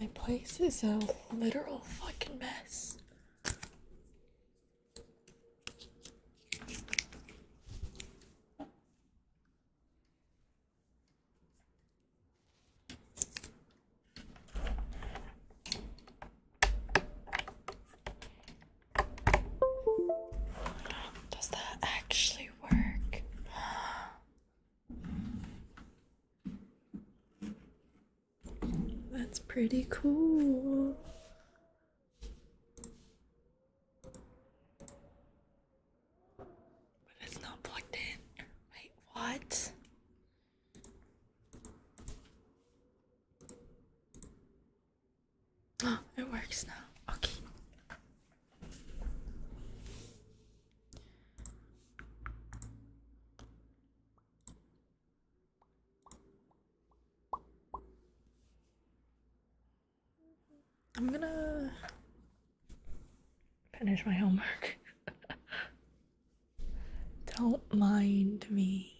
My place is a literal fucking mess. Does that actually work? That's pretty cool. But it's not plugged in. Wait, what? Oh, it works now. Okay. I'm gonna finish my homework. Don't mind me.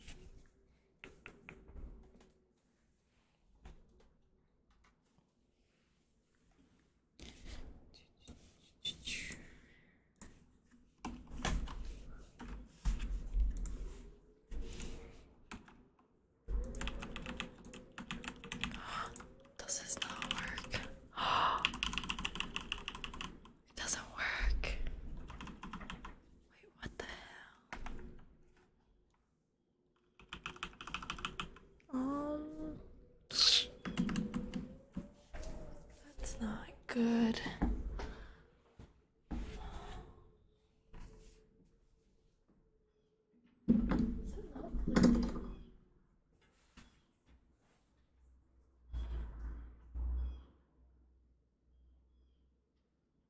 Does this not work? It doesn't work. Wait, what the hell? Um, that's not good.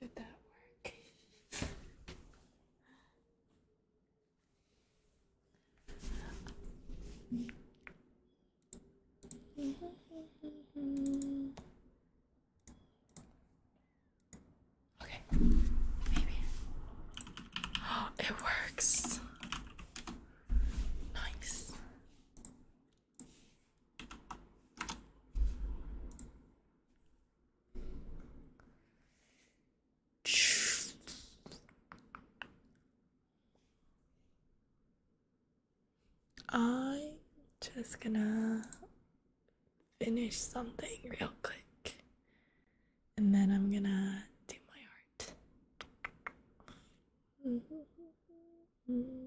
Did that work? okay, maybe. Oh, it works. Nice. I'm just gonna finish something real quick and then I'm gonna do my art. Mm-hmm. Mm-hmm.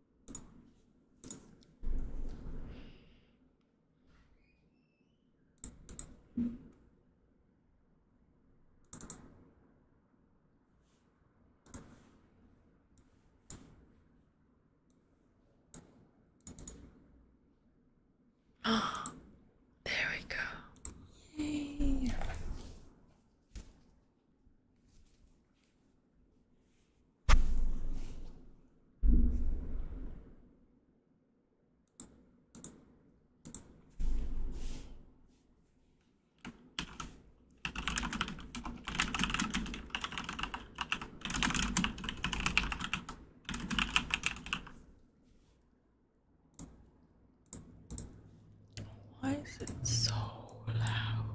there we go. Yay. Why is it so loud?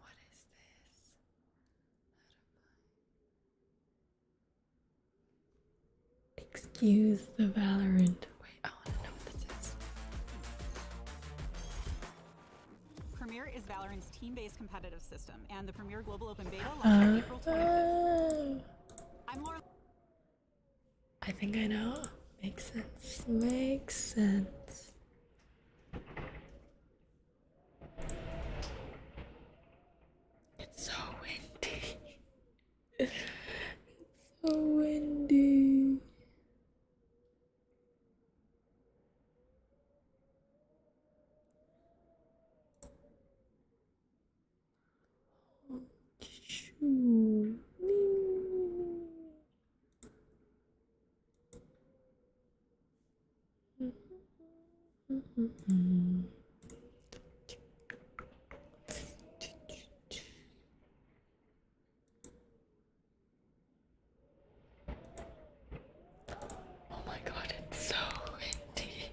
what is this? Out of my Excuse the Valorant. Wait, I want to know what this is. Premier is Valorant's team-based competitive system, and the Premier Global Open Beta launched uh-huh. April 25th. I'm Laura. I think I know. Makes sense. Makes sense. It's so windy. it's so windy. Oh, shoo. Oh my God, it's so windy.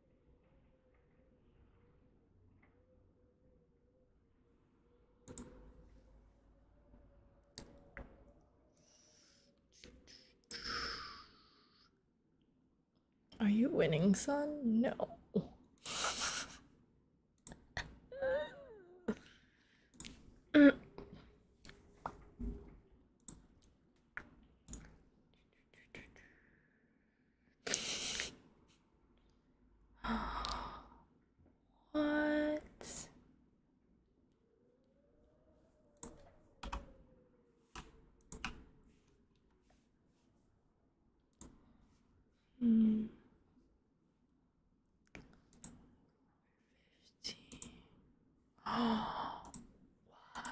Are you winning, son? No what? Hmm. Fifteen. Oh, what?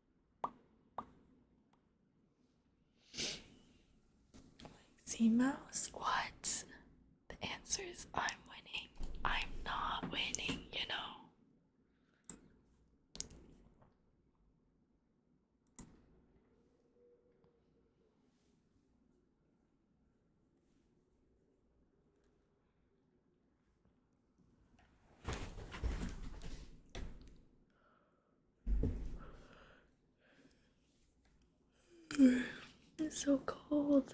Sea Mouse, what? The answer is I'm winning. I'm not winning, you know. It's so cold.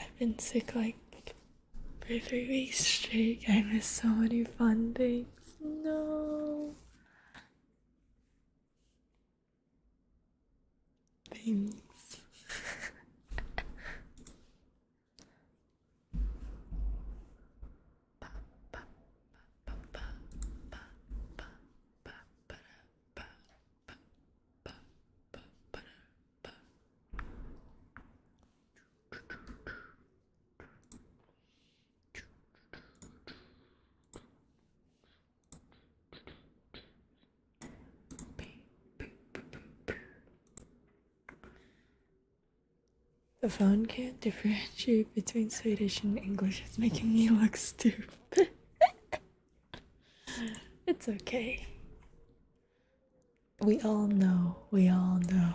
I've been sick like for three weeks straight. I miss so many fun things. No. Things. The phone can't differentiate between Swedish and English. It's making me look stupid. it's okay. We all know, we all know.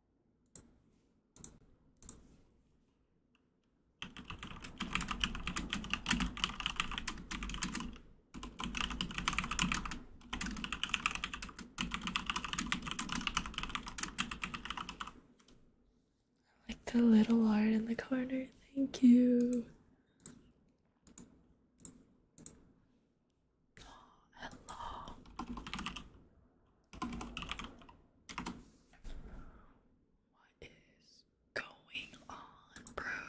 I like the little art in the corner. Thank you. What is going on, bro?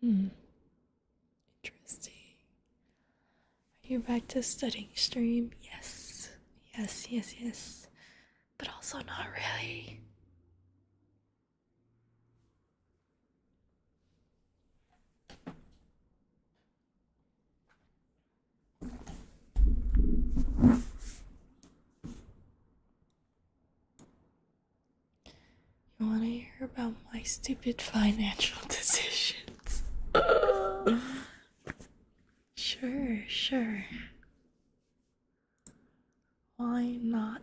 Hmm. Interesting. Are you back to studying stream? Yes. Yes, yes, yes. But also not really. You want to hear about my stupid financial decisions? sure, sure. Why not?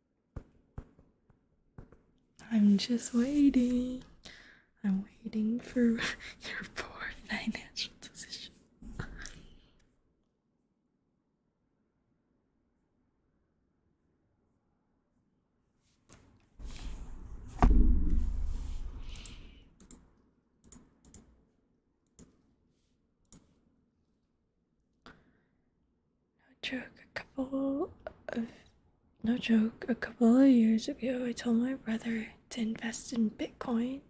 I'm just waiting. I'm waiting for your poor financial decision. No joke, a couple of no joke, a couple of years ago I told my brother to invest in Bitcoin.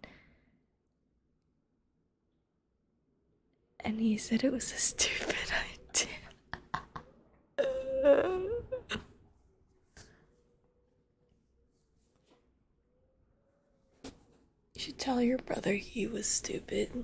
And he said it was a stupid idea. You should tell your brother he was stupid.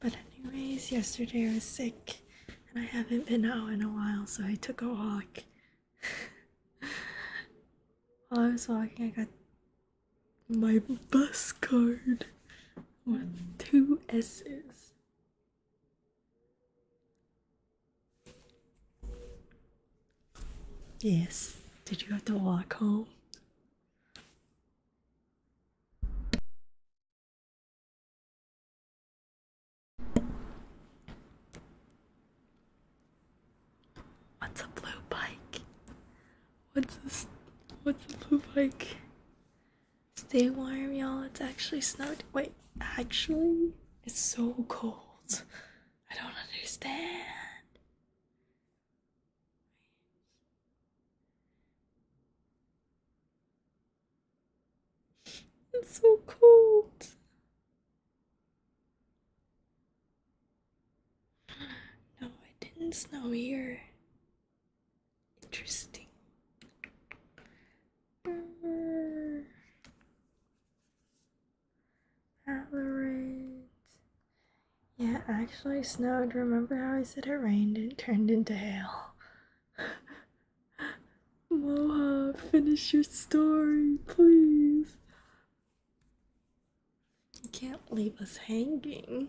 But, anyways, yesterday I was sick and I haven't been out in a while, so I took a walk. While I was walking, I got my bus card with two S's. Yes. Did you have to walk home? What's a blue bike? What's this? What's a blue bike? Stay warm, y'all. It's actually snowed. Wait, actually, it's so cold. I don't understand. It's so cold. No, it didn't snow here. Interesting. Ballarat. Yeah, it actually snowed. Remember how I said it rained and turned into hail? Moha, finish your story, please. can't leave us hanging.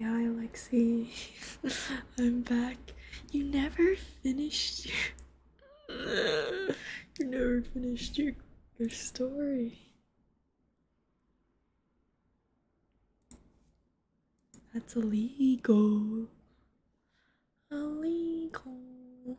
Hi, Alexi. I'm back. You never finished your. you never finished your your story. That's illegal. Illegal.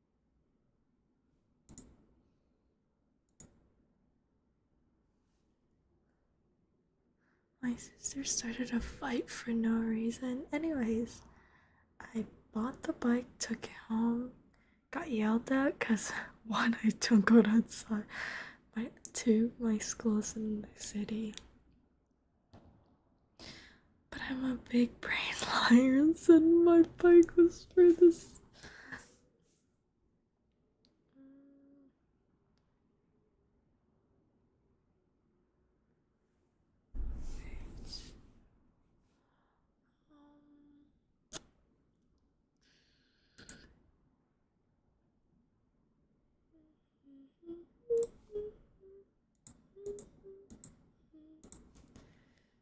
My sister started a fight for no reason. Anyways, I bought the bike, took it home, got yelled at because one, I don't go outside, my two, my school's in the city. But I'm a big brain liar and said my bike was this for this.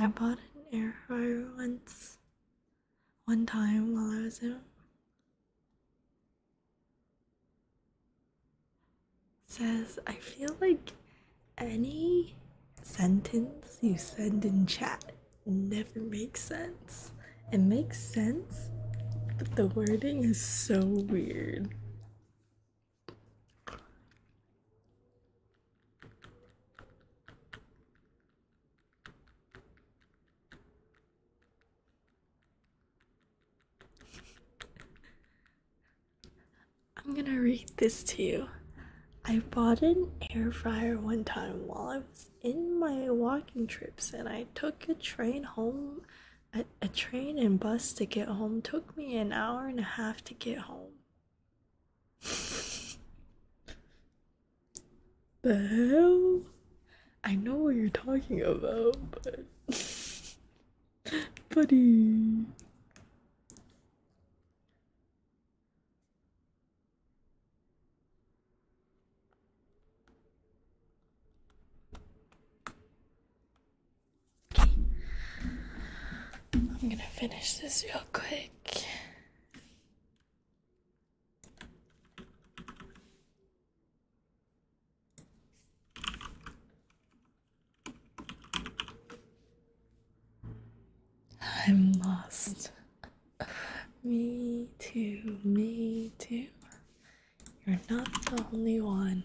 I bought an air fryer once, one time while I was in says, I feel like any sentence you send in chat never makes sense. It makes sense, but the wording is so weird. I'm gonna read this to you. I bought an air fryer one time while I was in my walking trips, and I took a train home. A, train and bus to get home took me an hour and a half to get home. the hell? I know what you're talking about, but. Buddy. I'm gonna finish this real quick. I'm lost. me too, me too. You're not the only one.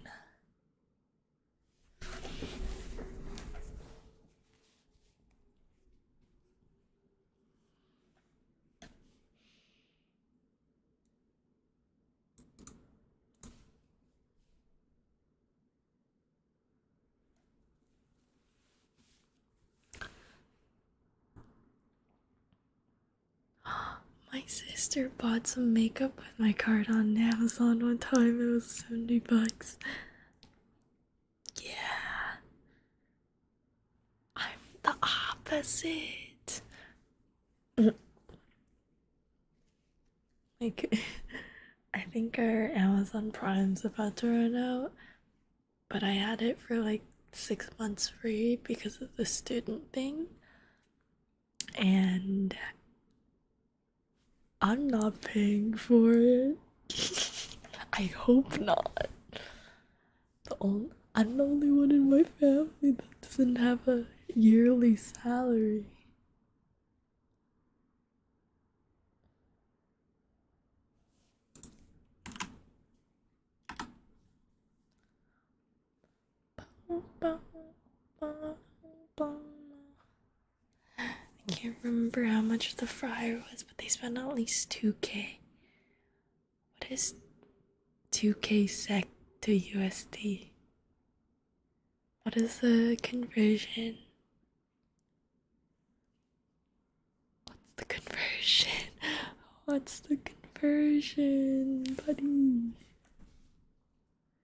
my sister bought some makeup with my card on Amazon one time. It was 70 bucks. Yeah. I'm the opposite. Like, I think our Amazon Prime's about to run out, but I had it for like six months free because of the student thing. And I'm not paying for it. I hope not. The only, I'm the only one in my family that doesn't have a yearly salary. I can't remember how much the fryer was, but they spent at least 2k. What is 2k sec to USD? What is the conversion? What's the conversion? What's the conversion, buddy? The scope.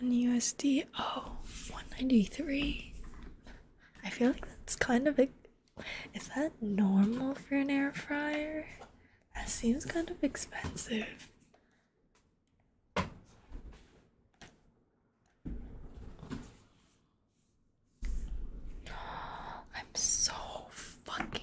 One USD. Oh, 193. I feel like that's kind of a. Is that normal for an air fryer? That seems kind of expensive. I'm so fucking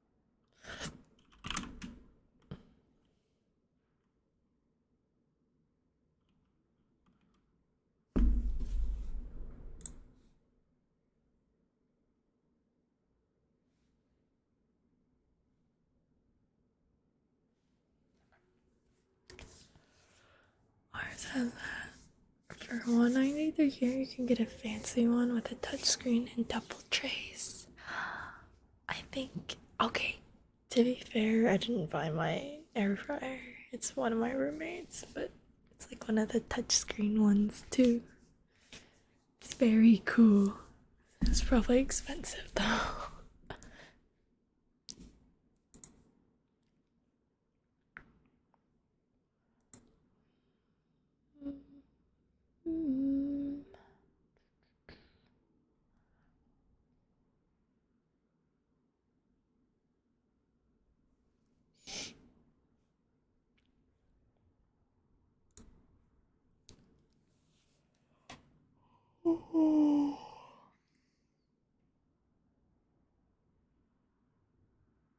Ours has that. For 193 you can get a fancy one with a touchscreen and double Trace, I think okay. To be fair, I didn't buy my air fryer. It's one of my roommates, but it's like one of the touchscreen ones too. It's very cool. It's probably expensive though. Mm. Oh.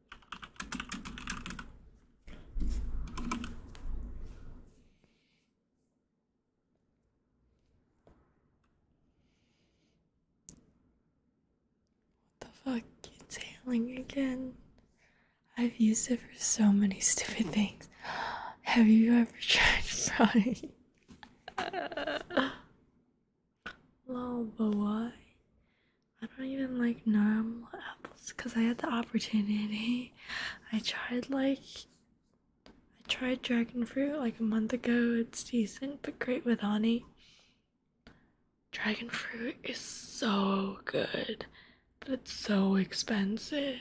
What the fuck? It's hailing again. I've used it for so many stupid things. Have you ever tried frying? Lol, but why? I don't even like normal apples because I had the opportunity. I tried like I tried dragon fruit like a month ago. It's decent but great with honey. Dragon fruit is so good, but it's so expensive.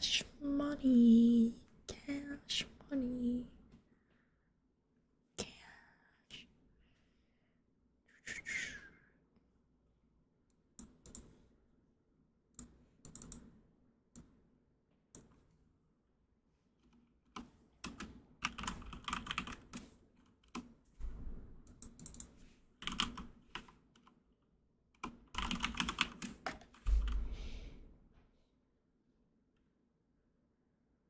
Cash money, cash money. Cash.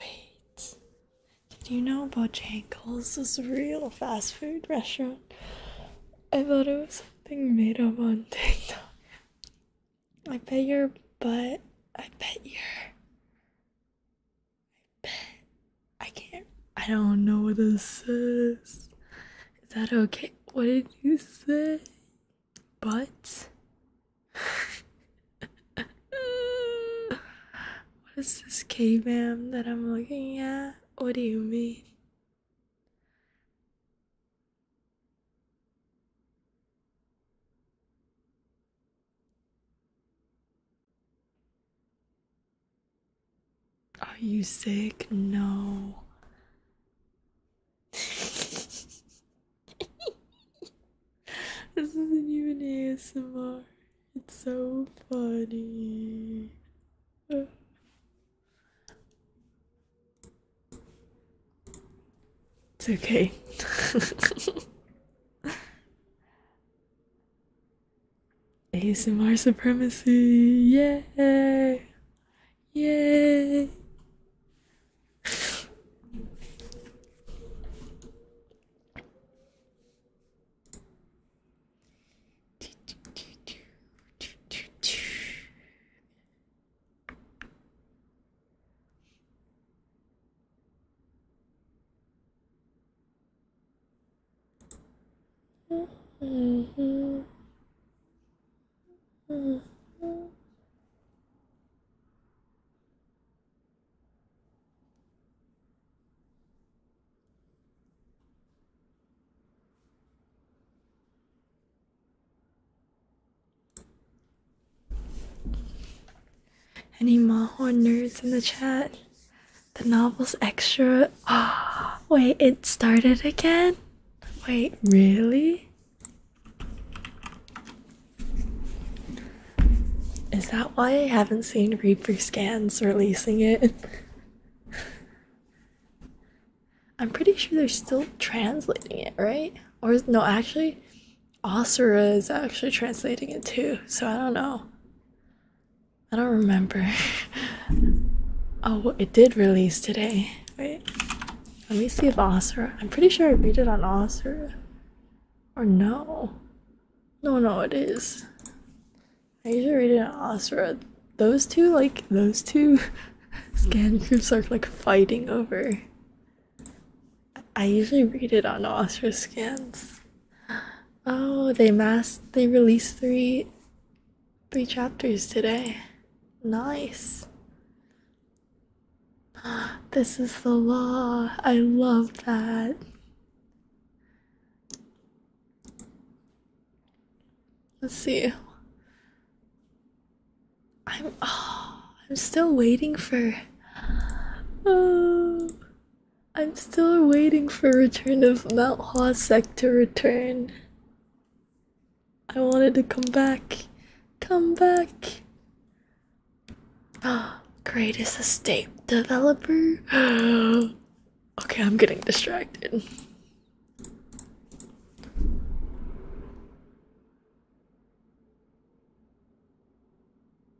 Wait, did you know Bojangles is a real fast food restaurant? I thought it was something made up on TikTok. I bet your butt. I bet your bet. I can't. I don't know what this is. Is that okay? What did you say? But. what is this caveman that I'm looking at? What do you mean? Are you sick? No. this isn't even ASMR. It's so funny. It's okay. ASMR supremacy, yay, yay. Mm-hmm. hmm any Mahorn nerds in the chat? The novel's extra. Ah, oh, wait, it started again? Wait, really? Is that why I haven't seen Reaper Scans releasing it? I'm pretty sure they're still translating it, right? Or no, actually, Osira is actually translating it too, so I don't know. I don't remember. oh, it did release today. Wait, let me see if Osira. I'm pretty sure I read it on Osira. Or no. No, no, it is. I usually read it on Osira. Those two, like, those two scan groups are like fighting over I usually read it on Oscar scans. Oh, they mass they released three three chapters today. Nice. This is the law. I love that. Let's see. I'm oh, I'm still waiting for oh I'm still waiting for Return of Mount Hosek to return. I wanted to come back. Come back. Ah, greatest estate developer. okay, I'm getting distracted.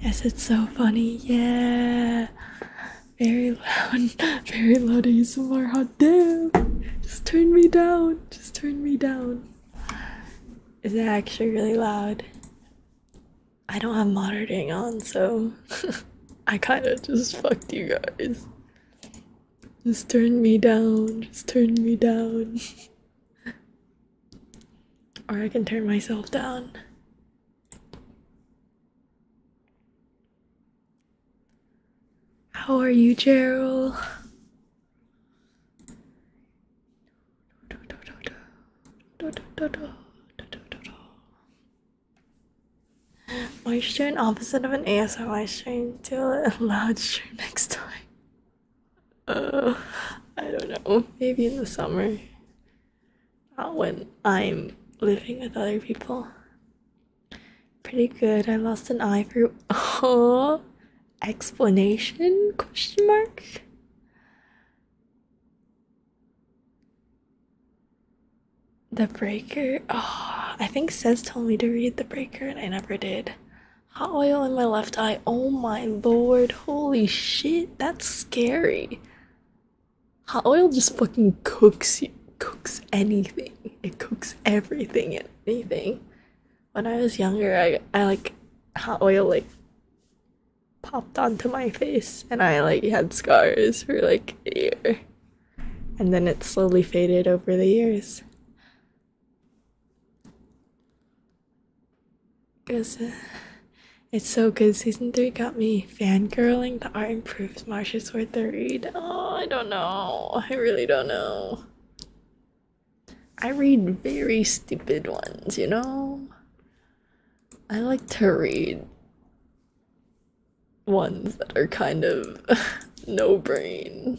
Yes, it's so funny. Yeah. Very loud. Very loud ASMR. Hot damn. Just turn me down. Just turn me down. Is that actually really loud? I don't have monitoring on, so I kind of just fucked you guys. Just turn me down. Just turn me down. or I can turn myself down. How are you, Gerald? Moisture and opposite of an ASMR stream. Do a loud stream next time. Uh, I don't know. Maybe in the summer. Not when I'm living with other people. Pretty good. I lost an eye through oh explanation question mark. The Breaker. Oh, I think Says told me to read The Breaker and I never did. Hot oil in my left eye. Oh my lord. Holy shit. That's scary. Hot oil just fucking cooks you. Cooks anything. It cooks everything and anything. When I was younger, I, I like hot oil like popped onto my face and I like had scars for like a year. And then it slowly faded over the years. Because uh, it's so good. Season 3 got me fangirling. The art improves. Marsha's worth the read. Oh, I don't know. I really don't know. I read very stupid ones, you know? I like to read ones that are kind of no brain.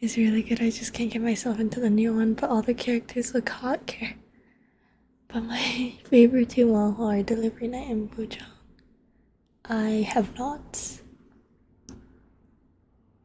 It's really good. I just can't get myself into the new one, but all the characters look hot care. But my favorite two are Delivery Night and Bujang. I have not.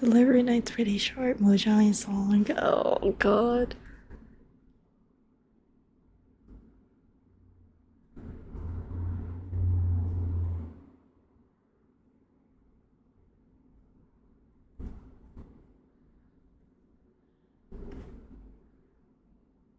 Delivery night's pretty short. Mojang is long. Oh god.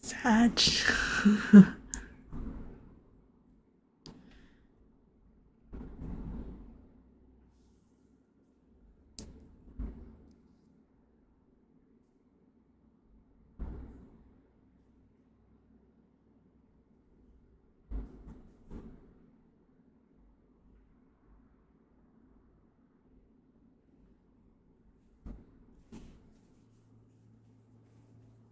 Such.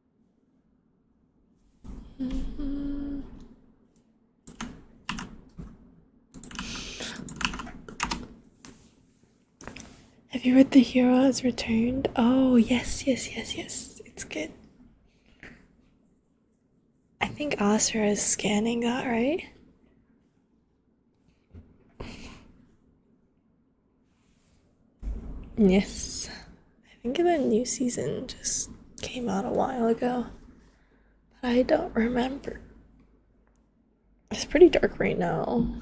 Have you read The Hero Has Returned? Oh, yes, yes, yes, yes. It's good. I think Asra is scanning that, right? Yes. I think the new season just came out a while ago. But I don't remember. It's pretty dark right now.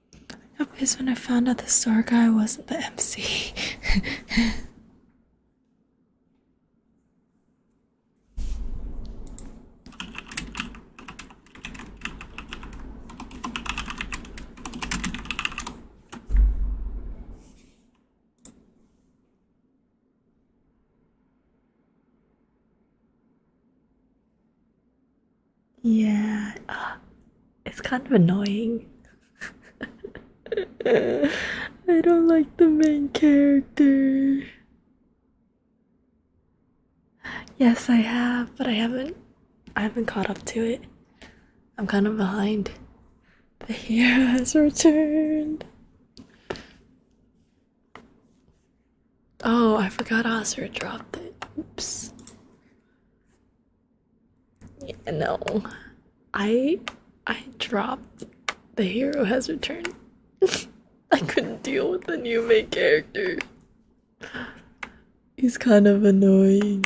i when I found out the star guy wasn't the MC. Yeah, ah, it's kind of annoying. I don't like the main character. Yes, I have, but I haven't. I haven't caught up to it. I'm kind of behind. The hero has returned. Oh, I forgot Oscar dropped it. Oops. Yeah, no, I I dropped the hero has returned. I couldn't deal with the new main character. He's kind of annoying.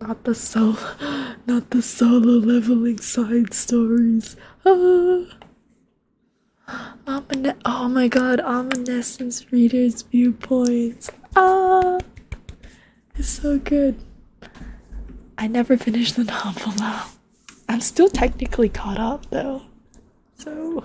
Not the solo, not the solo leveling side stories. Ah. oh my god, Omniscience Reader's Viewpoints. Ah, it's so good. I never finished the novel though. I'm still technically caught up though. So.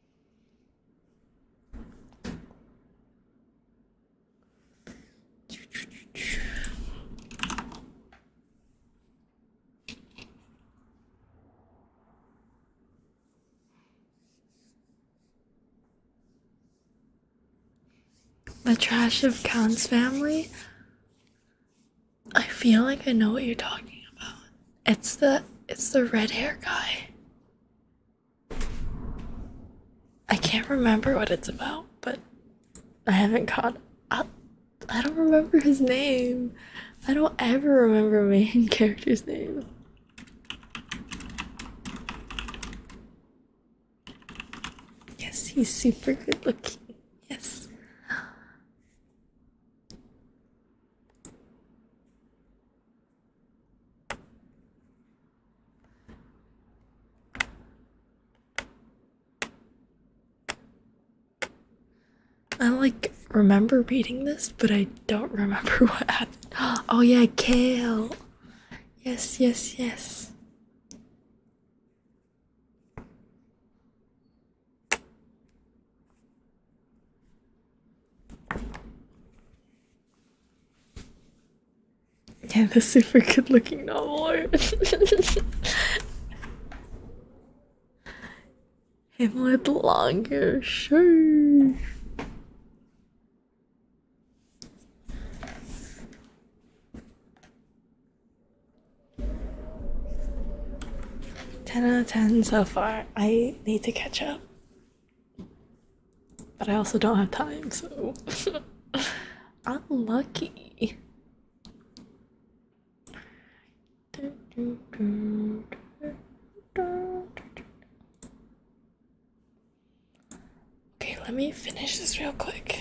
The trash of Count's family? I feel like I know what you're talking about. It's the it's the red hair guy. I can't remember what it's about, but I haven't caught up. I don't remember his name. I don't ever remember main character's name. Yes, he's super good looking. Yes. I like remember reading this, but I don't remember what happened. Oh, yeah, kale. Yes, yes, yes. Yeah, the super good looking novel art. Hamlet longer, sure. Ten out of ten so far. I need to catch up. But I also don't have time, so I'm lucky. Okay, let me finish this real quick.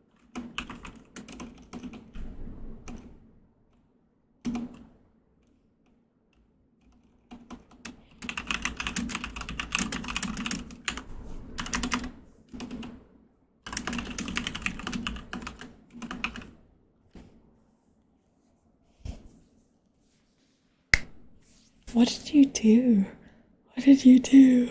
What did you do? What did you do?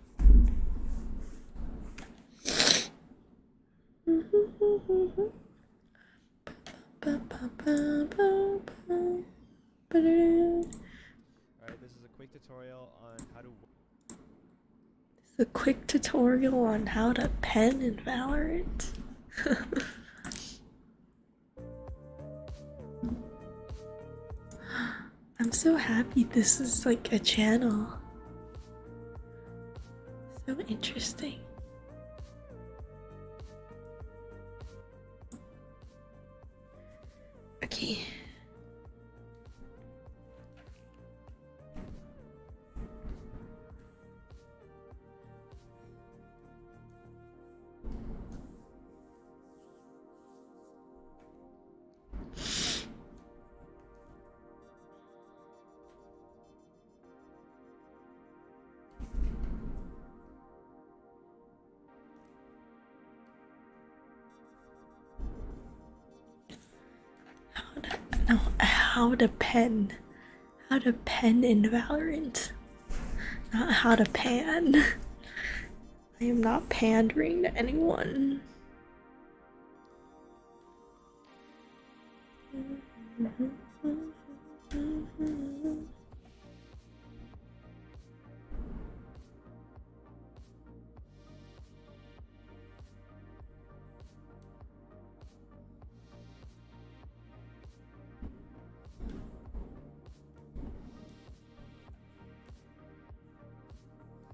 this is a quick tutorial on how to. This is a quick pen in Valorant. I'm so happy this is like a channel. So interesting. Okay. How to no, how to pen. How the pen in Valorant. Not how to pan. I am not pandering to anyone.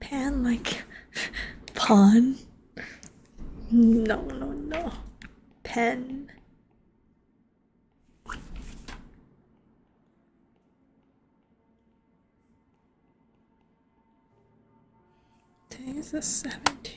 Pen like pawn? No, no, no. Pen. Today is the 17th.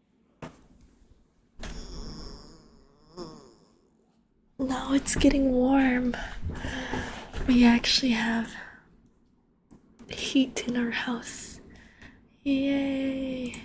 Now it's getting warm. We actually have heat in our house. Yay!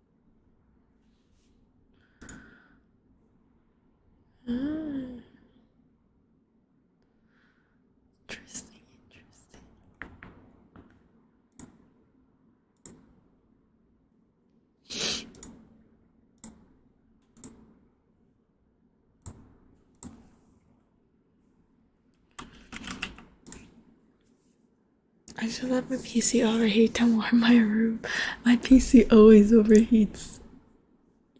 Mm. Interesting, interesting. I just let my PC overheat to warm my room. My PC always overheats.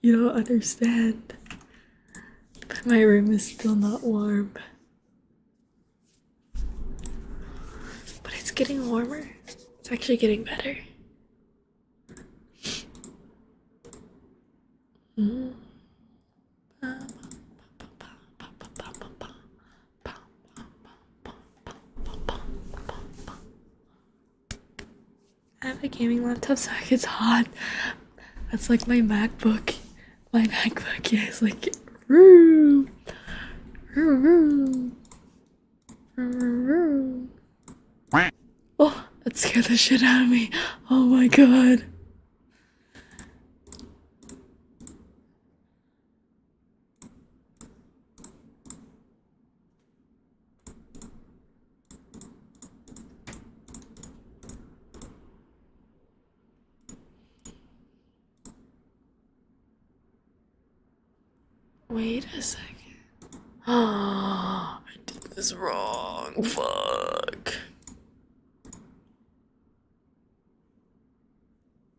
You don't understand. But my room is still not warm. But it's getting warmer. It's actually getting better. Mm. I have a gaming laptop so it gets hot. That's like my MacBook. My MacBook is like roo, roo, roo, roo, roo. Oh, that scared the shit out of me. Oh my god. Wait a second. Ah, I did this wrong. Fuck.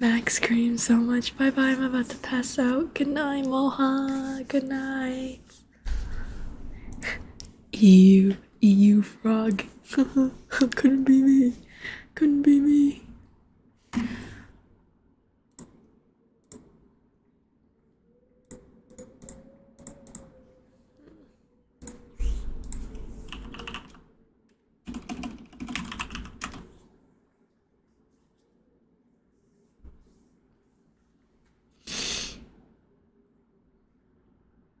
Max screams so much. Bye bye, I'm about to pass out. Good night, Moha. Good night. Ew. EU frog. Couldn't be me. Couldn't be me.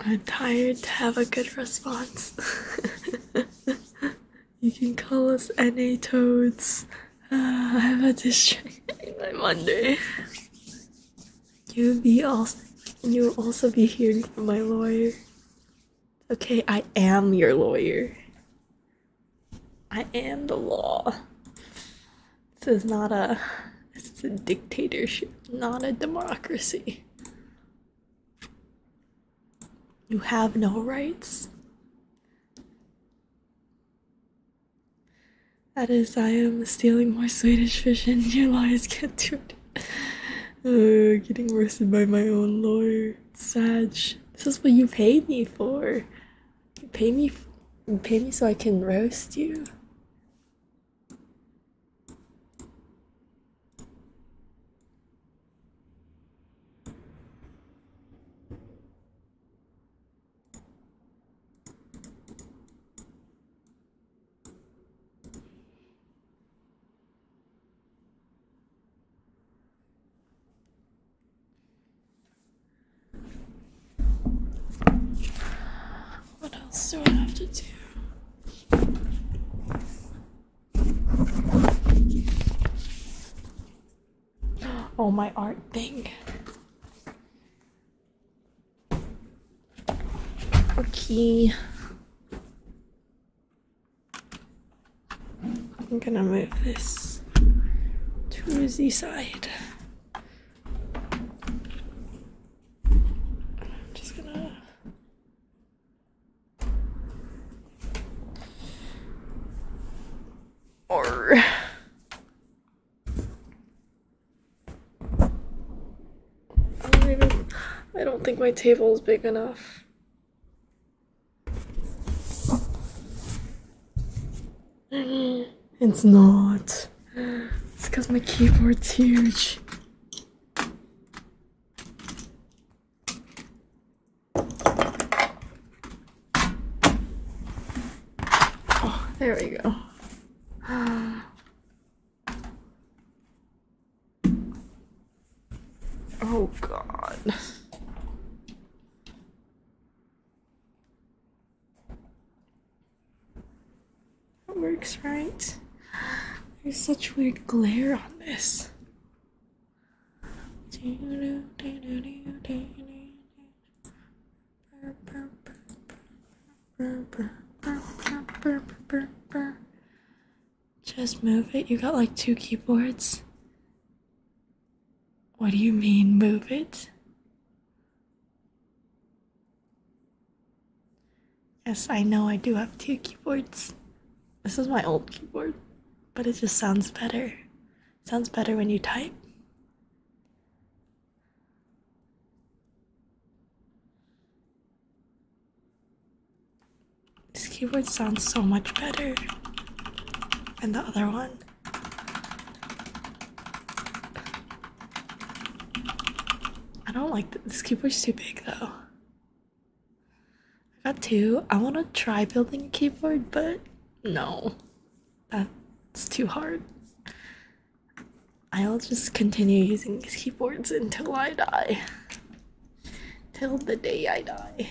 I'm tired to have a good response. you can call us NA Toads. Uh, I have a district by Monday. You'll be also you'll also be hearing from my lawyer. Okay, I am your lawyer. I am the law. This is not a this is a dictatorship, not a democracy. You have no rights. That is, I am stealing more Swedish fish and your lawyers can't do it. getting roasted by my own lawyer. Sag, this is what you paid me for. You paid me, you me so I can roast you. What else do I have to do? Oh, my art thing. Okay. I'm gonna move this to the side. I'm just gonna or I don't think my table is big enough. It's not. It's because my keyboard's huge. Oh, there we go. Oh god. That works, right? There's such weird glare on this. Just move it? You got like two keyboards? What do you mean, move it? Yes, I know I do have two keyboards. This is my old keyboard, but it just sounds better. sounds better when you type. This keyboard sounds so much better than the other one. I don't like this keyboard's too big though. I got two. I want to try building a keyboard, but no, that's too hard. I'll just continue using these keyboards until I die. Till the day I die.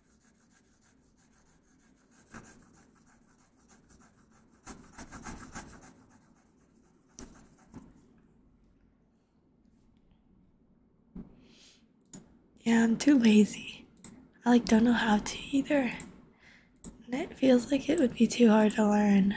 Yeah, I'm too lazy. I like don't know how to either. And it feels like it would be too hard to learn.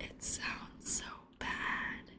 it sounds so bad.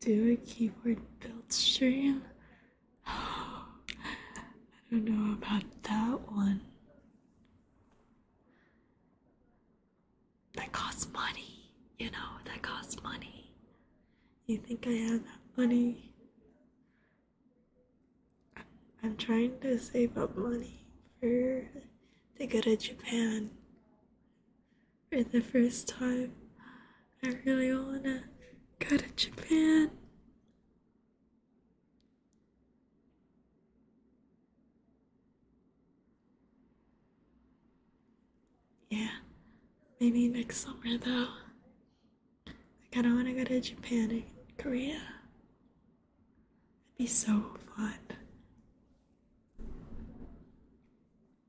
do a keyboard build stream? I don't know about that one. That costs money, you know, that costs money. You think I have that money? I'm trying to save up money for to go to Japan for the first time. I really wanna go to Japan. Yeah, maybe next summer though. I kinda wanna go to Japan and Korea. It'd be so fun.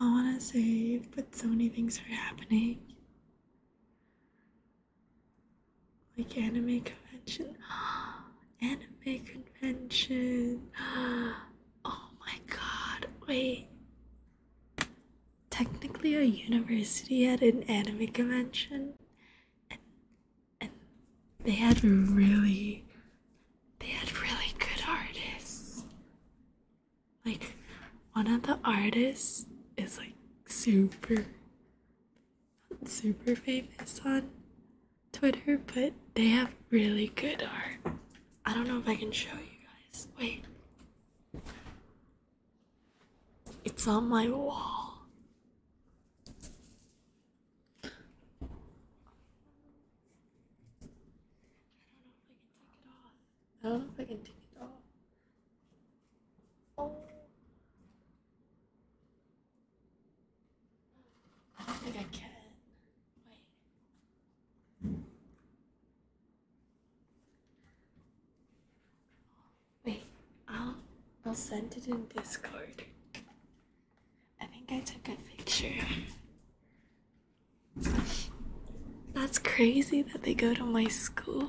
I want to say, but so many things are happening. Like anime convention. anime convention. oh my god, wait. Technically, a university had an anime convention, and they had really they had really good artists. Like, one of the artists is like super, super famous on Twitter, but they have really good art. I don't know if I can show you guys. Wait. It's on my wall. I don't know if I can take it off. I don't know if I can take it off. Oh. I don't think I can. Wait. Wait, I'll I'll send it in Discord. I think I took a picture. That's crazy that they go to my school.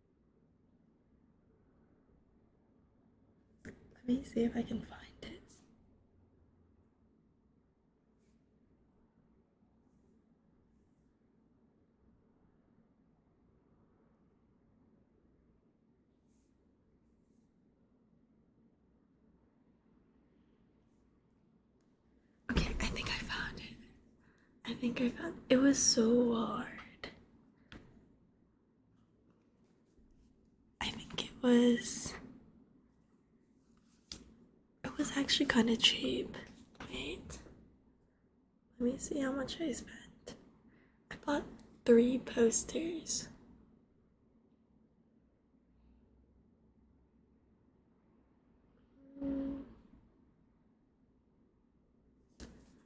Let me see if I can find it. Okay, I think I found it. I think I found it was so hard. I think it was it was actually kind of cheap. Wait. Let me see how much I spent. I bought three posters.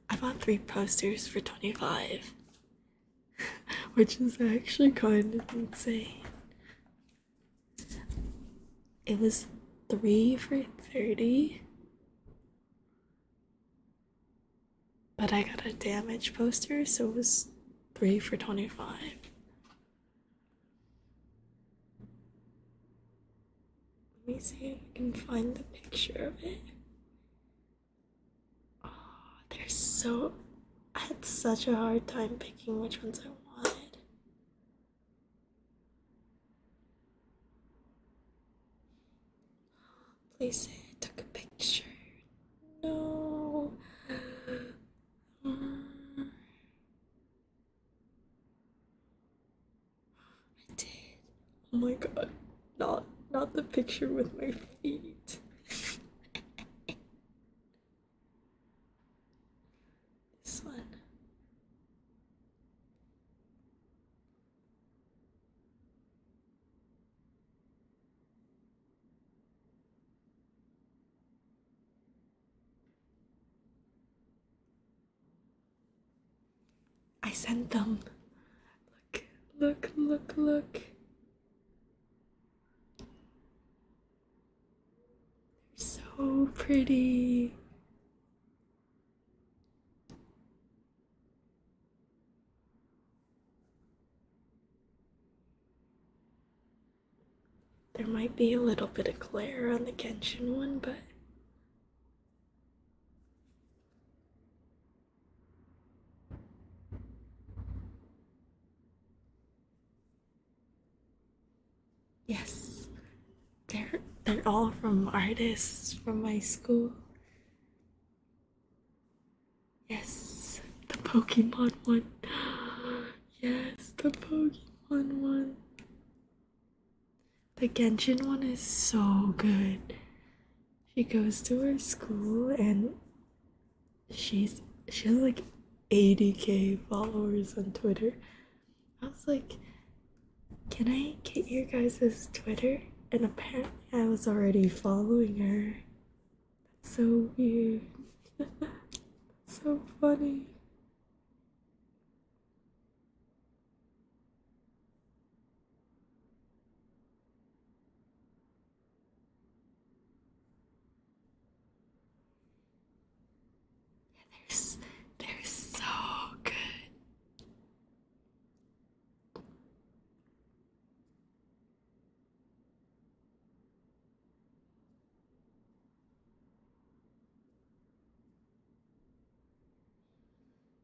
I bought three posters for 25, which is actually kind of insane. It was three for 30, but I got a damaged poster, so it was three for 25. Let me see if I can find the picture of it. Oh, they're so. I had such a hard time picking which ones I wanted. Please take a picture. No. Mm. I did. Oh my god. Not not the picture with my feet. this one. I sent them. Look, look, look, look. They're so pretty. There might be a little bit of glare on the Genshin one, but Yes, they're they're all from artists from my school. Yes, the Pokemon one. Yes, the Pokemon one. The Genshin one is so good. She goes to her school and she's she has like 80k followers on Twitter. I was like, can I get your guys's Twitter? And apparently I was already following her. so weird. so funny. Yeah, they're, they're so good.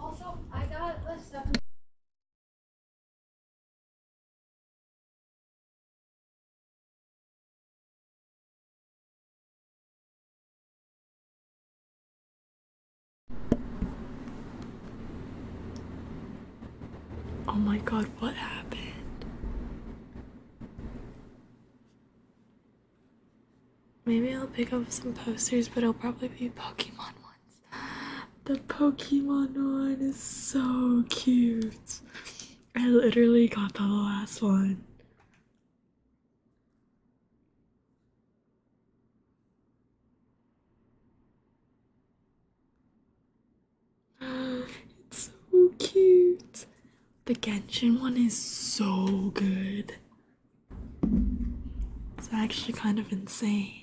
Also, I got a list Oh my god, what happened? Maybe I'll pick up some posters, but it'll probably be Pokemon ones. The Pokemon one is so cute. I literally got the last one. It's so cute. The Genshin one is so good. It's actually kind of insane.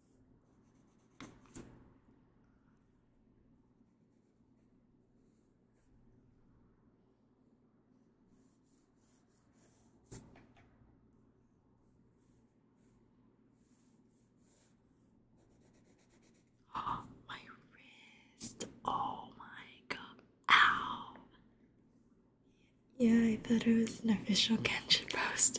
Oh, my wrist. Oh my god. Ow. Yeah, I thought it was an official Kenshin post.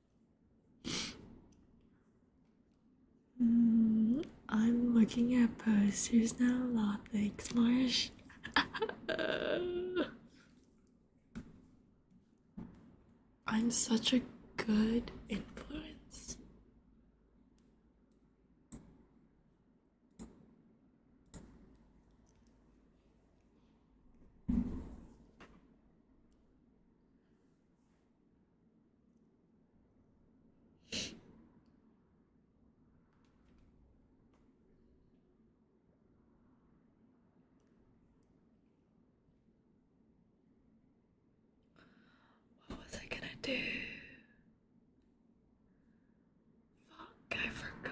Mm, I'm looking at posters now. A thanks, Marsh. I'm such a good influence. What was I gonna do? Fuck, I forgot.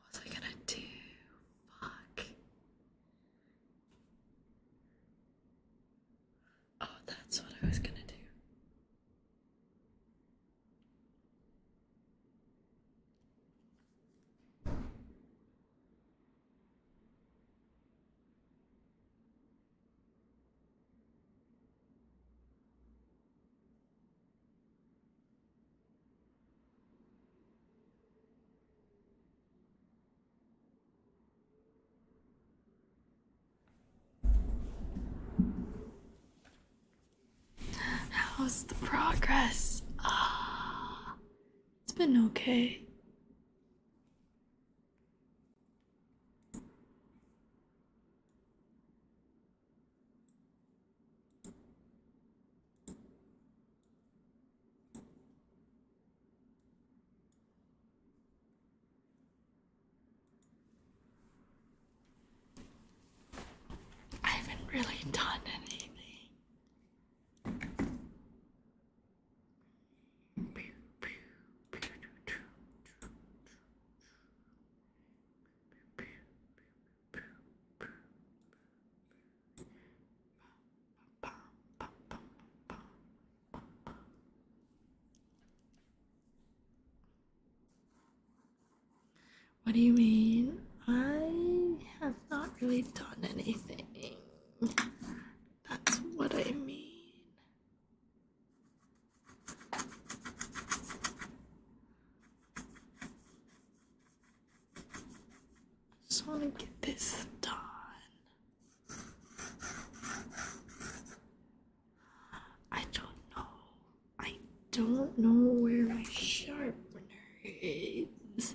What was I gonna do? Fuck. Oh, that's what I was gonna do. How's the progress? Ah, it's been okay. I haven't really done anything. What do you mean? I have not really done anything. That's what I mean. I just want to get this done. I don't know. I don't know where my sharpener is.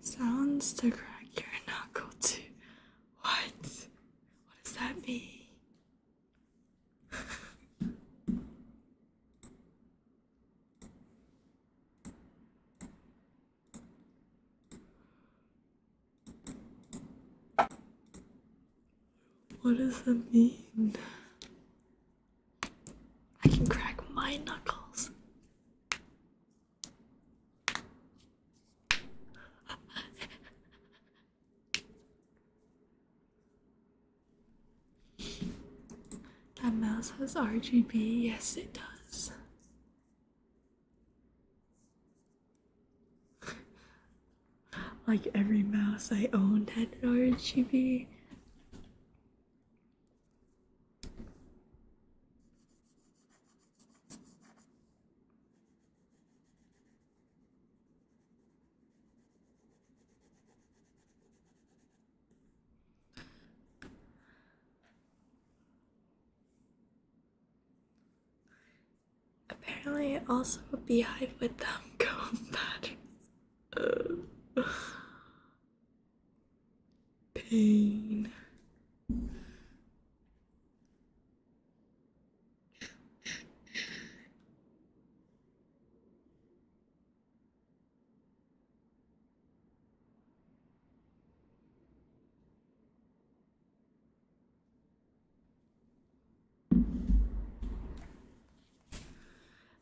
Sounds to crack your knuckle too. What? What does that mean? What does that mean? I can crack my knuckles. That mouse has RGB, yes, it does. like every mouse I owned had RGB. Apparently, I also beehive with them Go patterns. pain.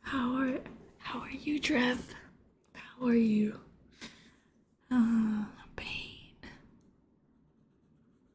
How are how are you, Trev? How are you? Uh, pain.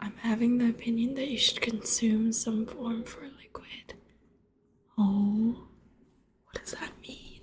I'm having the opinion that you should consume some form for liquid. Oh, what does that mean?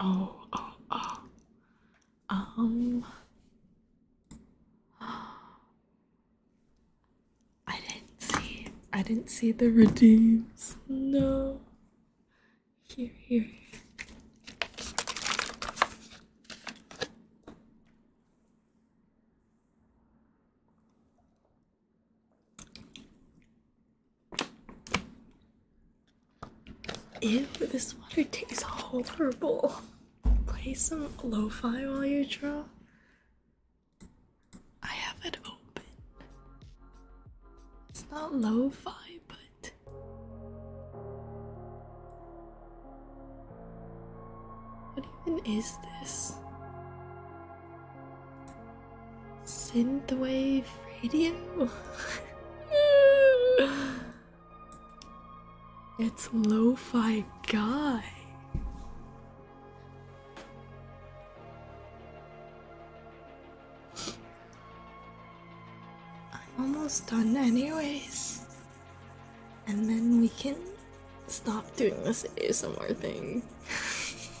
Oh, oh, oh. Um. I didn't see. I didn't see the redeems. No. Here, here, here. Ew, this water tastes horrible. Play some lo-fi while you draw. I have it open. It's not lo-fi, but what even is this? Synthwave radio? it's lo fi guy. I'm almost done, anyways. And then we can stop doing this ASMR thing.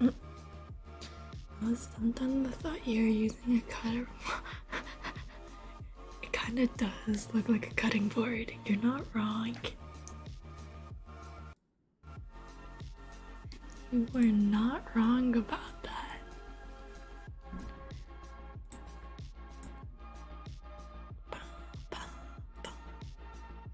I was sometimes The thought you were using a cutter. it kind of does look like a cutting board. You're not wrong. You were not wrong about that.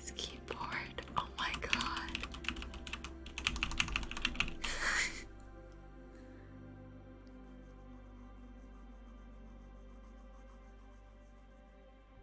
This keyboard, oh my god.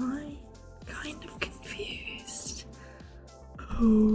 I'm kind of confused. Oh.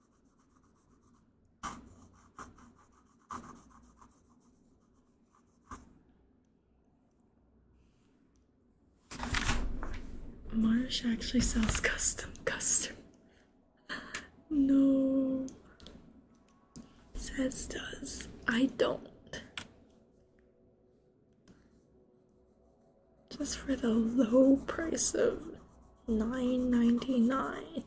Marsh actually sells custom custom. No. Says does. I don't. Just for the low price of nine ninety nine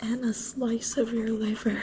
and a slice of your liver.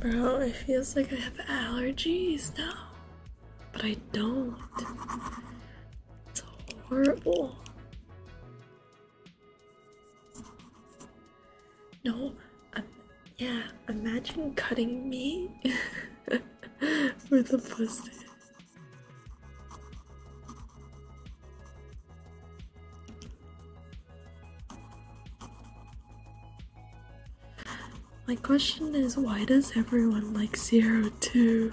Bro, it feels like I have allergies now. But I don't. It's horrible. No, yeah, imagine cutting me with a pussy. My question is why does everyone like zero two?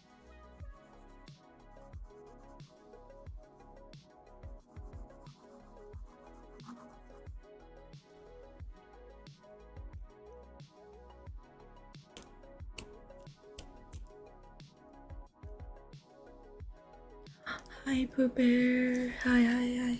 Hi, Pooh Bear. Hi, hi, hi.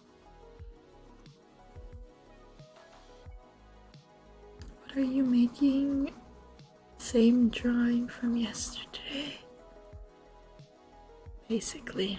What are you making? Same drawing from yesterday. Basically.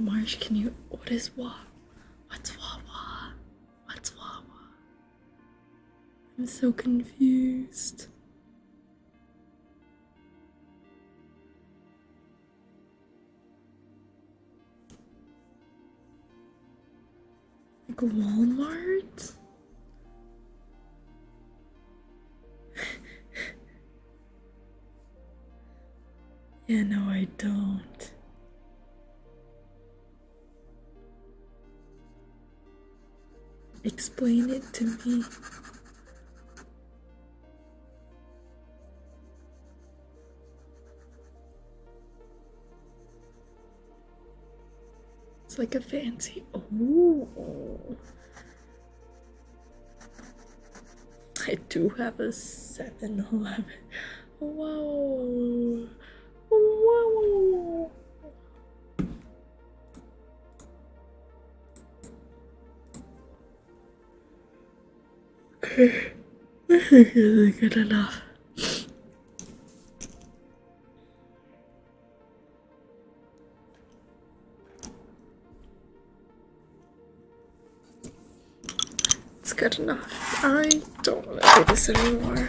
Marsh, can you? What is wa? What's Wawa? What's Wawa? I'm so confused. Like Walmart? yeah, no, I don't. Explain it to me. It's like a fancy. Oh. I do have a 7 Eleven. Whoa. Whoa. Okay. This isn't good enough. It's good enough. I don't want to do this anymore.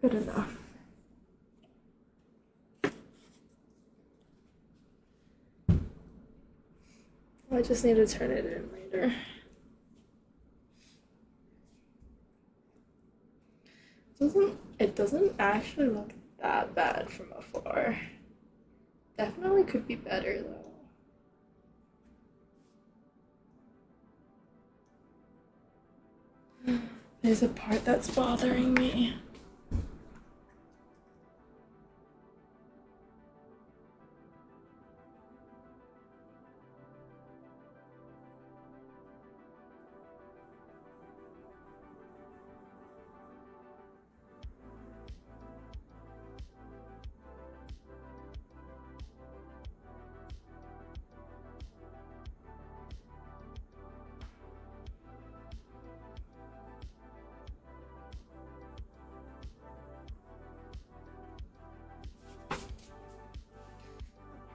Good enough. I just need to turn it in later. It doesn't it doesn't actually look that bad from afar. Definitely could be better though. There's a part that's bothering me.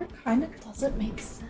It kind of doesn't make sense.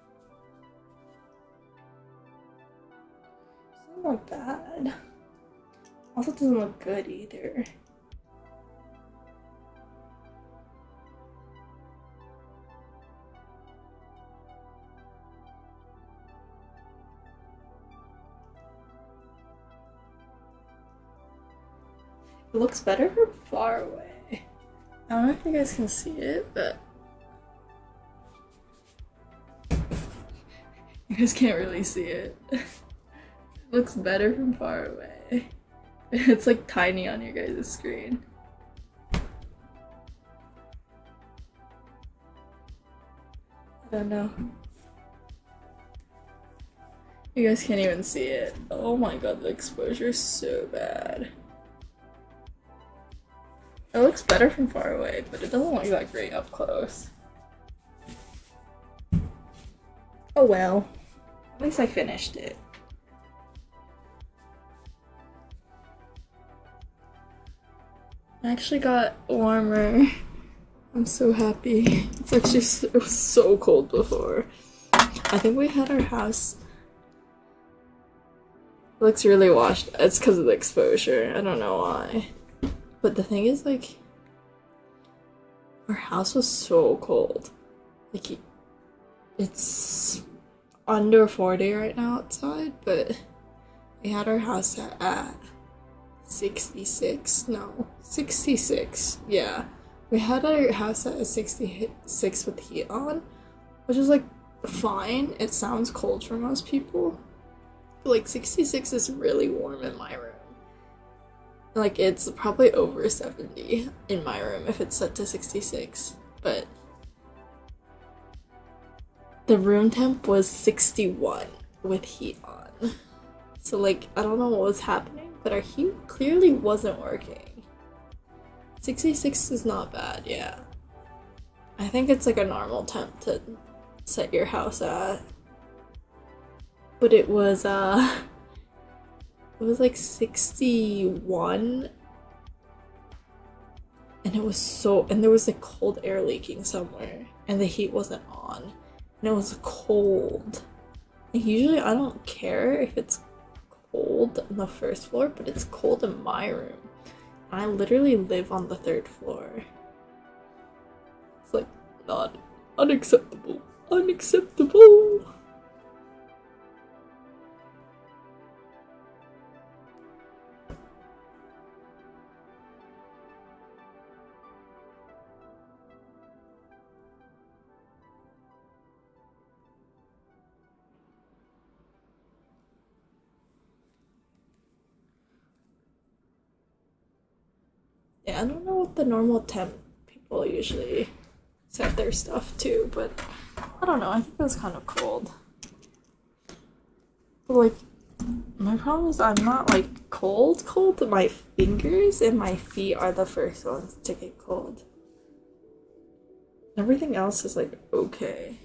not bad. Also doesn't look good either. It looks better far away. I don't know if you guys can see it, but you guys can't really see it. looks better from far away. It's like tiny on your guys' screen. I don't know. You guys can't even see it. Oh my god, the exposure is so bad. It looks better from far away, but it doesn't look that great up close. Oh well. At least I finished it. I actually got warmer. I'm so happy. It's actually it was so cold before. I think we had our house looks really washed. It's because of the exposure. I don't know why. But the thing is, like, our house was so cold. Like, it's under 40 right now outside, but we had our house at, at 66. No, 66. Yeah. We had our house at 66 with heat on, which is like fine. It sounds cold for most people. like 66 is really warm in my room. Like it's probably over 70 in my room if it's set to 66. But the room temp was 61 with heat on. So like I don't know what was happening, but our heat clearly wasn't working. 66 is not bad, yeah. I think it's like a normal temp to set your house at. But it was uh it was like 61 and it was so and there was like cold air leaking somewhere and the heat wasn't on and it was cold. And usually I don't care if it's cold on the first floor, but it's cold in my room. I literally live on the third floor. It's like not unacceptable. Unacceptable. Yeah, I don't know what the normal temp people usually set their stuff to, but I don't know. I think it was kind of cold. like, my problem is I'm not like cold, cold. But my fingers and my feet are the first ones to get cold. Everything else is like okay.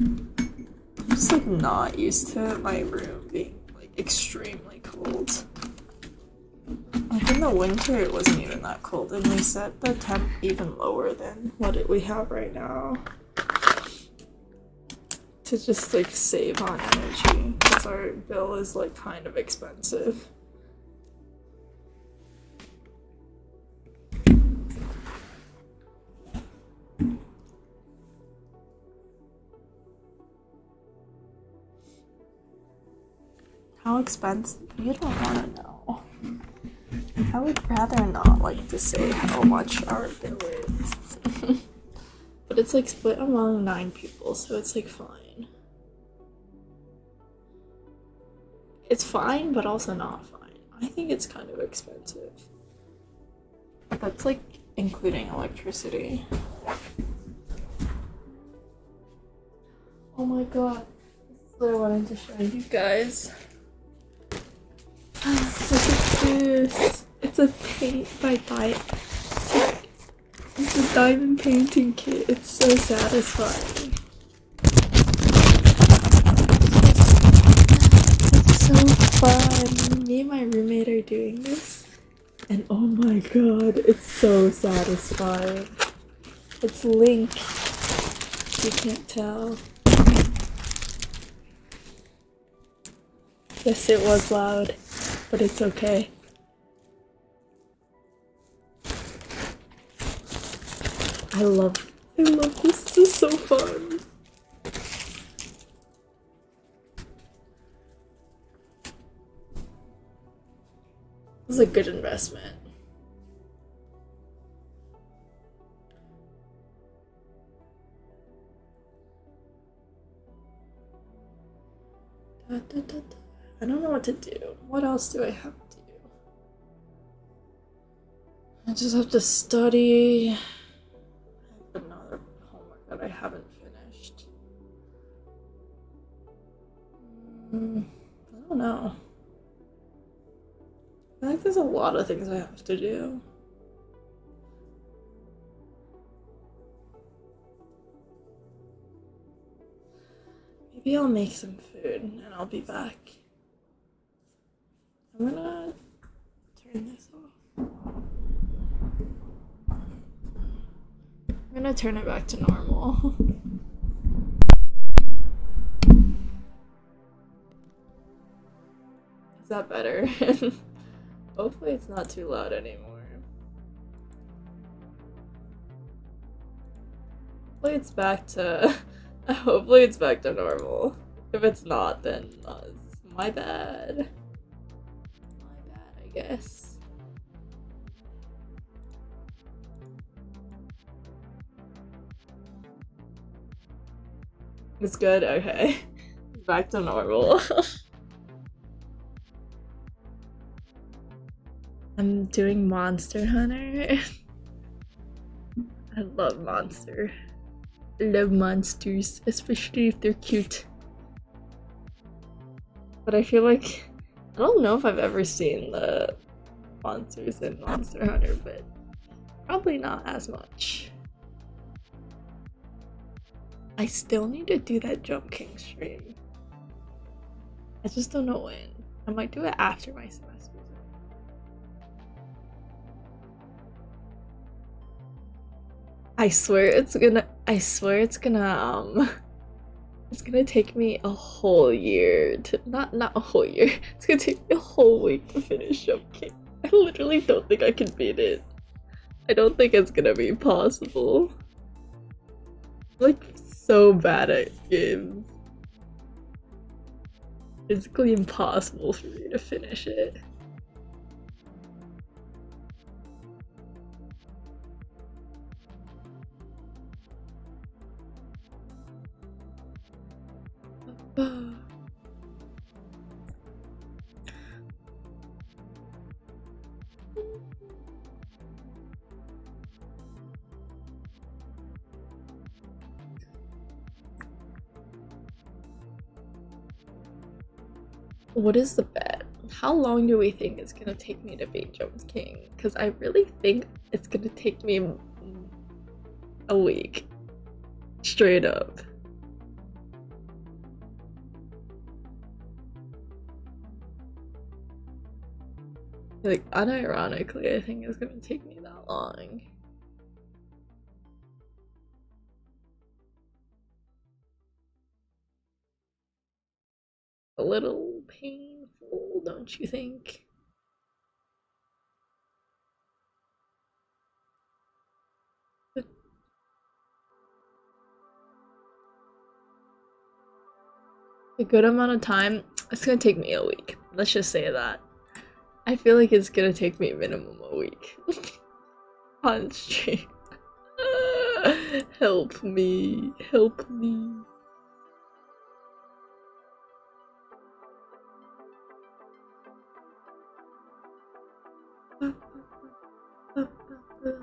I'm just like not used to my room being like extremely cold. Like in the winter it wasn't even that cold and we set the temp even lower than what we have right now. To just like save on energy because our bill is like kind of expensive. How expensive? You don't want to know. I would rather not like to say how much our bill is. but it's like split among nine people, so it's like fine. It's fine, but also not fine. I think it's kind of expensive. That's like including electricity. Oh my god. This is what I wanted to show you guys. Look at this. It's a paint by Diet. It's a diamond painting kit. It's so satisfying. It's so fun. Me and my roommate are doing this, and oh my god, it's so satisfying. It's Link. You can't tell. Yes, it was loud, but it's okay. I love, I love this. is so fun. This is a good investment. I don't know what to do. What else do I have to do? I just have to study. another homework that I haven't finished. Hmm, I don't know. I think there's a lot of things I have to do. Maybe I'll make some food and I'll be back. I'm gonna turn this off. I'm gonna turn it back to normal. Is that better? Hopefully it's not too loud anymore. Hopefully it's back to... Hopefully it's back to normal. If it's not, then my bad. My bad, I guess. It's good? Okay. back to normal. I'm doing Monster Hunter. I love monster. I love monsters, especially if they're cute. But I feel like I don't know if I've ever seen the monsters in Monster Hunter, but probably not as much. I still need to do that Jump King stream. I just don't know when. I might do it after my semester. I swear it's gonna I swear it's gonna um it's gonna take me a whole year to not not a whole year. It's gonna take me a whole week to finish Showcase. I literally don't think I can beat it. I don't think it's gonna be possible. like so bad at games physically impossible for me to finish it. What is the bet? How long do we think it's gonna take me to beat Jones King? Because I really think it's gonna take me a week. Straight up. Like, unironically, I think it's gonna take me that long. A little painful, don't you think? a good amount of time. It's gonna take me a week. Let's just say that. I feel like it's gonna take me minimum a week on stream. help me, help me.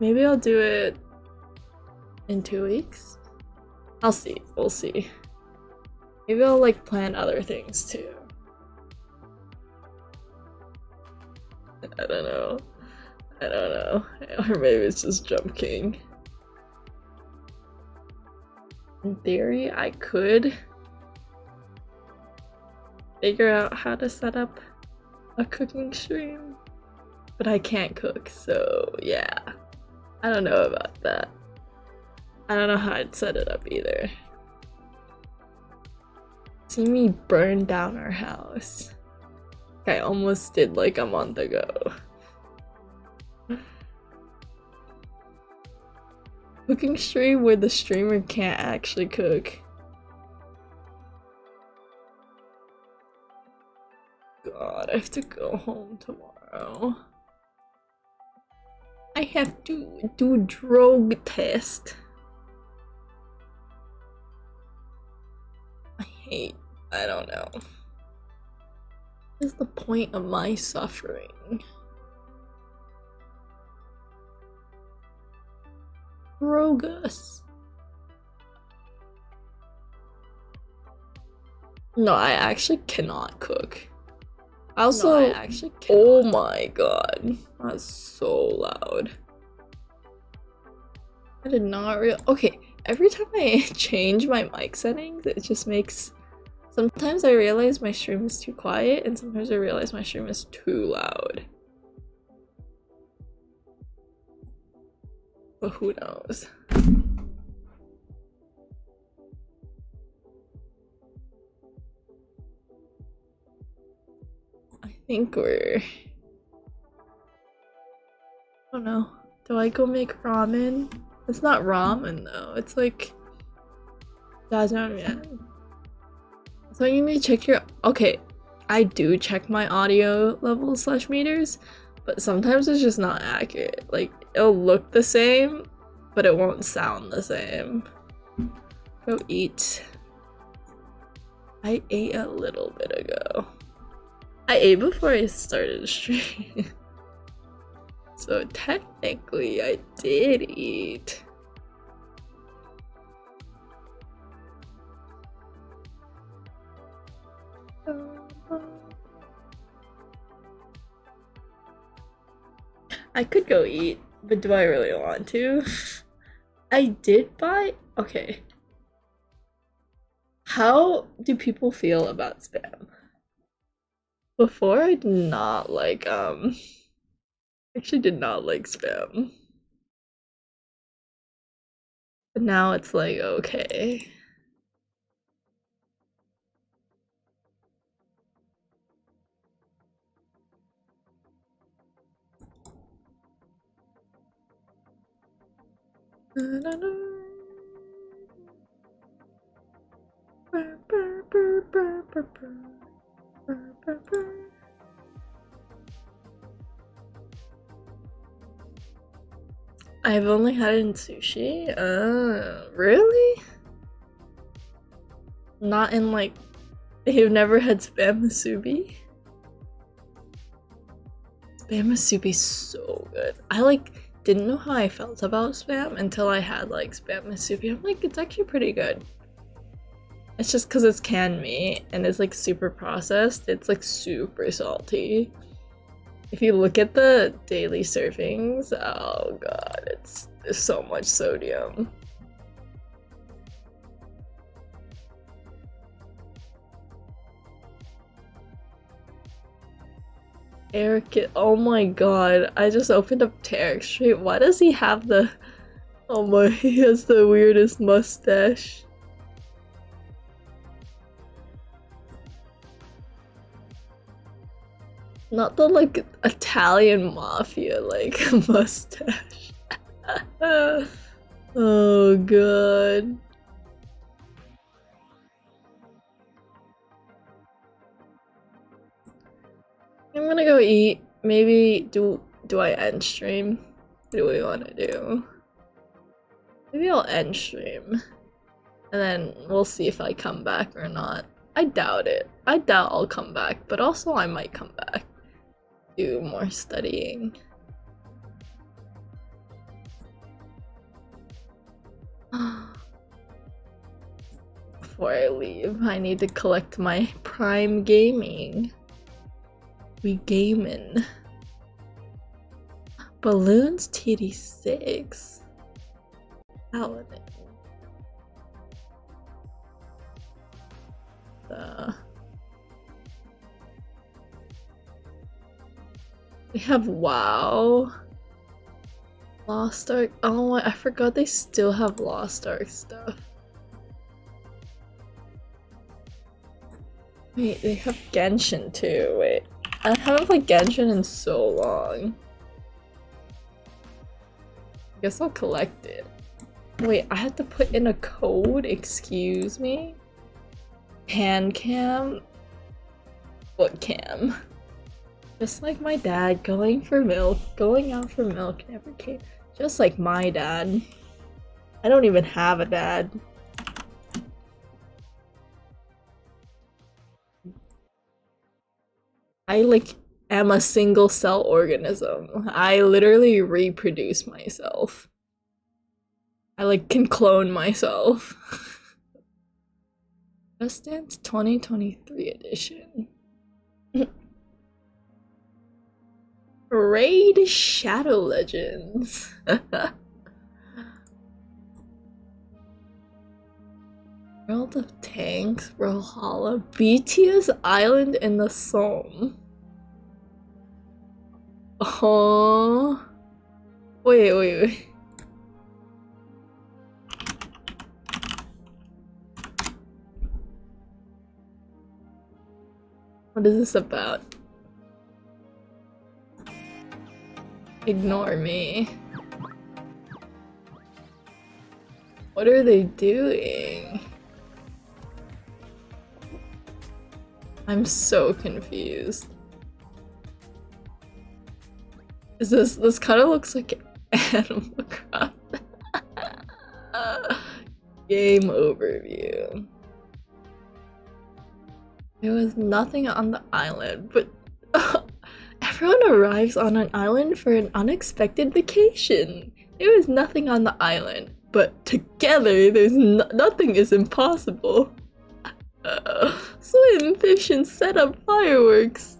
Maybe I'll do it in two weeks. I'll see. We'll see. Maybe I'll like plan other things too. I don't know. I don't know. Or maybe it's just Jump King. In theory, I could figure out how to set up a cooking stream, but I can't cook, so yeah. I don't know about that. I don't know how I'd set it up either. See me burn down our house. I almost did like a month ago. Cooking stream where the streamer can't actually cook. God, I have to go home tomorrow. I have to do drug test. I hate, I don't know. What is the point of my suffering? Rogus. No, I actually cannot cook. I also, no, I actually oh my god, that's so loud. I did not real. Okay, every time I change my mic settings, it just makes Sometimes I realize my stream is too quiet, and sometimes I realize my stream is too loud. But who knows? I think we're... I don't know. Do I go make ramen? It's not ramen though. It's like 짜장면. So you need to check your okay. I do check my audio level slash meters, but sometimes it's just not accurate. Like it'll look the same, but it won't sound the same. Go eat. I ate a little bit ago. I ate before I started streaming, so technically I did eat. I could go eat, but do I really want to? I did buy. Okay. How do people feel about spam? Before I did not like um actually did not like spam. But now it's like, okay. I've only had it in sushi? Uh, really? Not in like, i have never had spam musubi? Spam is so good. I like didn't know how I felt about spam until I had like spam musubi. I'm like, it's actually pretty good. It's just because it's canned meat and it's like super processed. It's like super salty. If you look at the daily servings, oh god, it's so much sodium. Eric, oh my god, I just opened up Tarek Street. Why does he have the Oh my, he has the weirdest mustache. Not the like Italian mafia like mustache. oh god. I'm gonna go eat. Maybe do do I end stream? What do we wanna do? Maybe I'll end stream. And then we'll see if I come back or not. I doubt it. I doubt I'll come back, but also I might come back. Do more studying. Before I leave, I need to collect my Prime Gaming. We gaming. Balloons TD6. Paladin. The... We have WoW. Lost Ark. Oh, I forgot they still have Lost Ark stuff. Wait, they have Genshin too. Wait, I haven't played Genshin in so long. I guess I'll collect it. Wait, I have to put in a code? Excuse me? Hand cam? Foot cam. Just like my dad, going for milk, going out for milk never came. Just like my dad. I don't even have a dad. I like am a single cell organism. I literally reproduce myself. I like can clone myself. Just Dance 2023 edition. Raid Shadow Legends. World of Tanks, Rohalla, BTS Island, in the Somme. Oh, wait, wait, wait. What is this about? Ignore me. What are they doing? I'm so confused. Is this- this kind of looks like Animal Crossing. Game overview. There was nothing on the island, but everyone arrives on an island for an unexpected vacation. There was nothing on the island, but together, there's nothing is impossible. Uh, swim, fish, and set up fireworks.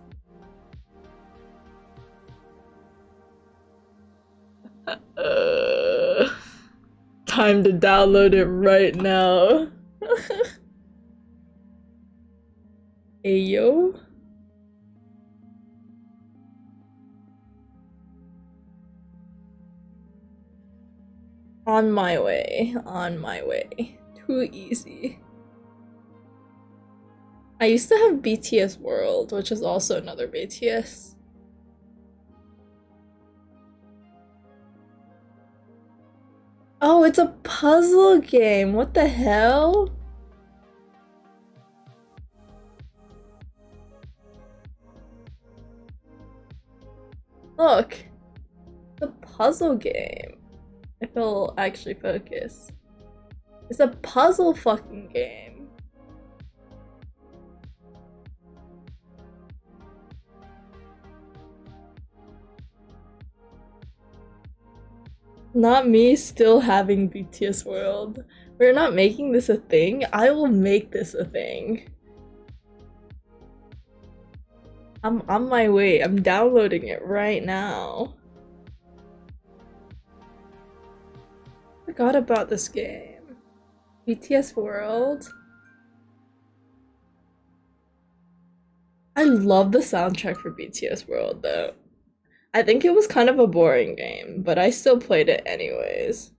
time to download it right now. Ayo. hey, on my way, on my way. Too easy. I used to have BTS World, which is also another BTS. Oh, it's a puzzle game. What the hell? Look, the puzzle game. If it'll actually focus. It's a puzzle fucking game. Not me still having BTS World. We're not making this a thing. I will make this a thing. I'm on my way. I'm downloading it right now. Forgot about this game. BTS World. I love the soundtrack for BTS World though. I think it was kind of a boring game, but I still played it anyways.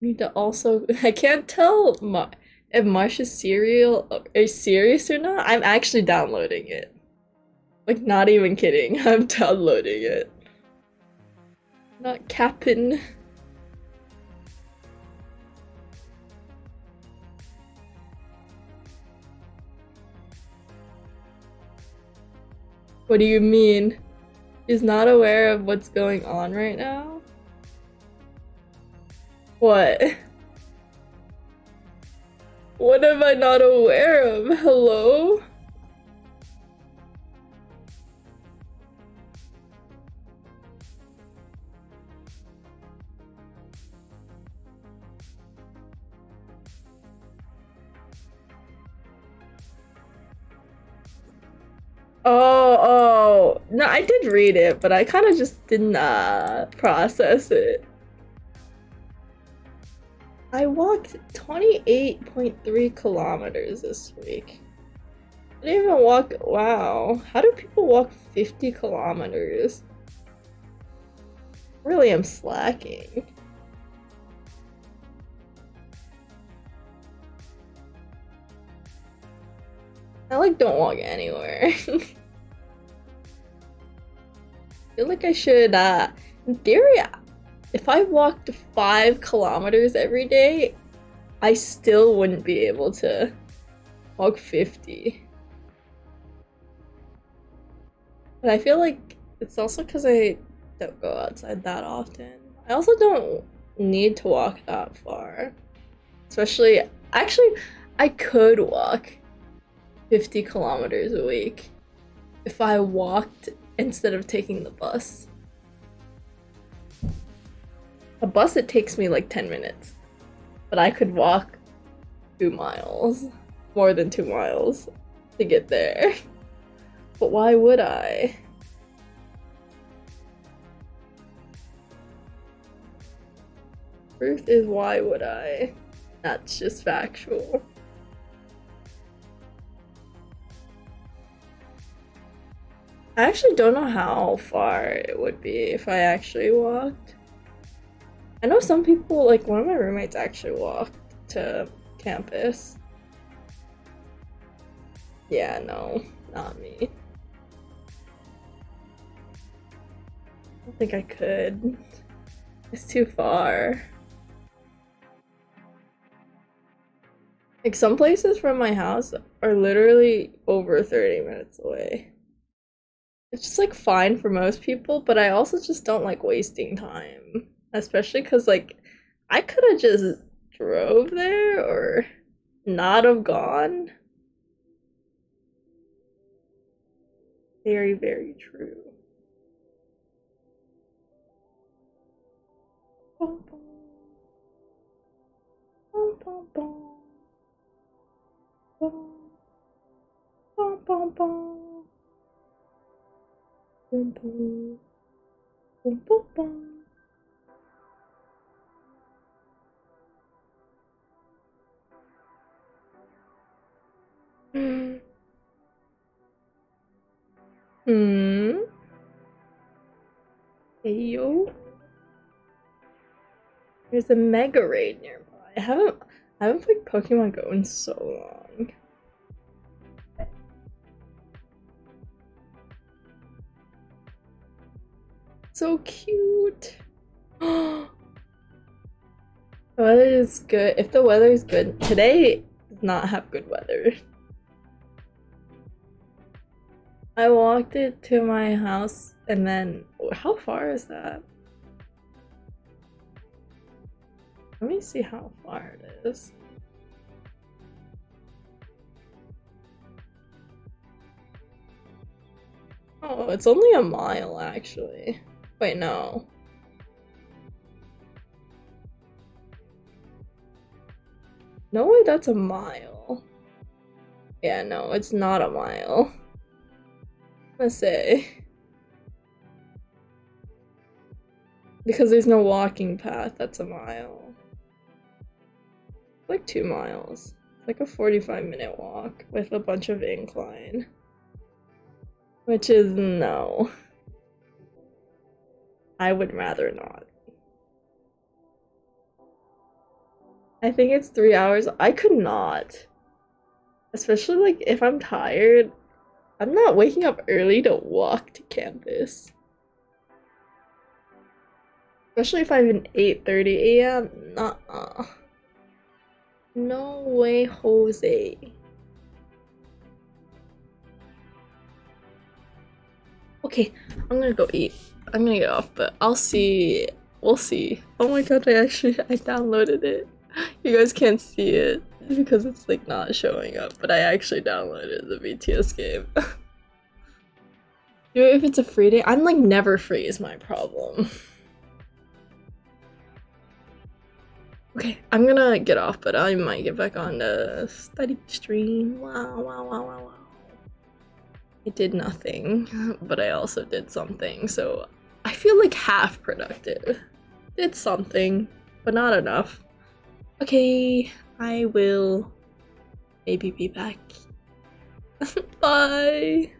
Need to also I can't tell my if Marsha's cereal are you serious or not? I'm actually downloading it. Like, not even kidding. I'm downloading it. Not capping. What do you mean? He's not aware of what's going on right now? What? What am I not aware of? Hello? Oh, oh. No, I did read it, but I kind of just didn't uh, process it. I walked 28.3 kilometers this week. I didn't even walk. Wow. How do people walk 50 kilometers? Really, I'm slacking. I like don't walk anywhere. I feel like I should, uh, in theory, if I walked five kilometers every day, I still wouldn't be able to walk 50. But I feel like it's also because I don't go outside that often. I also don't need to walk that far. Especially, actually, I could walk 50 kilometers a week if I walked instead of taking the bus. A bus, it takes me like 10 minutes, but I could walk two miles, more than two miles, to get there. But why would I? Truth is why would I? That's just factual. I actually don't know how far it would be if I actually walked. I know some people, like one of my roommates actually walked to campus. Yeah, no, not me. I don't think I could. It's too far. Like some places from my house are literally over 30 minutes away. It's just like fine for most people, but I also just don't like wasting time, especially cuz like I could have just drove there or not have gone. Very, very true. Mm. mm. Hey yo. There's a Mega Ray nearby. I haven't I haven't played Pokemon Go in so long. So cute. Oh, the weather is good. If the weather is good, today does not have good weather. I walked it to my house and then how far is that? Let me see how far it is. Oh, it's only a mile, actually. Wait, no. No way that's a mile. Yeah, no, it's not a mile. Let's say. Because there's no walking path, that's a mile. like two miles. like a 45 minute walk with a bunch of incline. Which is no. I would rather not. I think it's three hours. I could not. Especially like if I'm tired. I'm not waking up early to walk to campus. Especially if I'm in 8.30 a.m. nuh no way, Jose. Okay, I'm gonna go eat. I'm gonna get off, but I'll see. We'll see. Oh my god, I actually I downloaded it. You guys can't see it because it's like not showing up, but I actually downloaded the BTS game. if it's a free day. I'm like never free is my problem. Okay, I'm gonna get off, but I might get back on the study stream. Wow, wow, wow, wow, wow. It did nothing, but I also did something, so I feel like half productive. Did something, but not enough. Okay, I will maybe be back. Bye!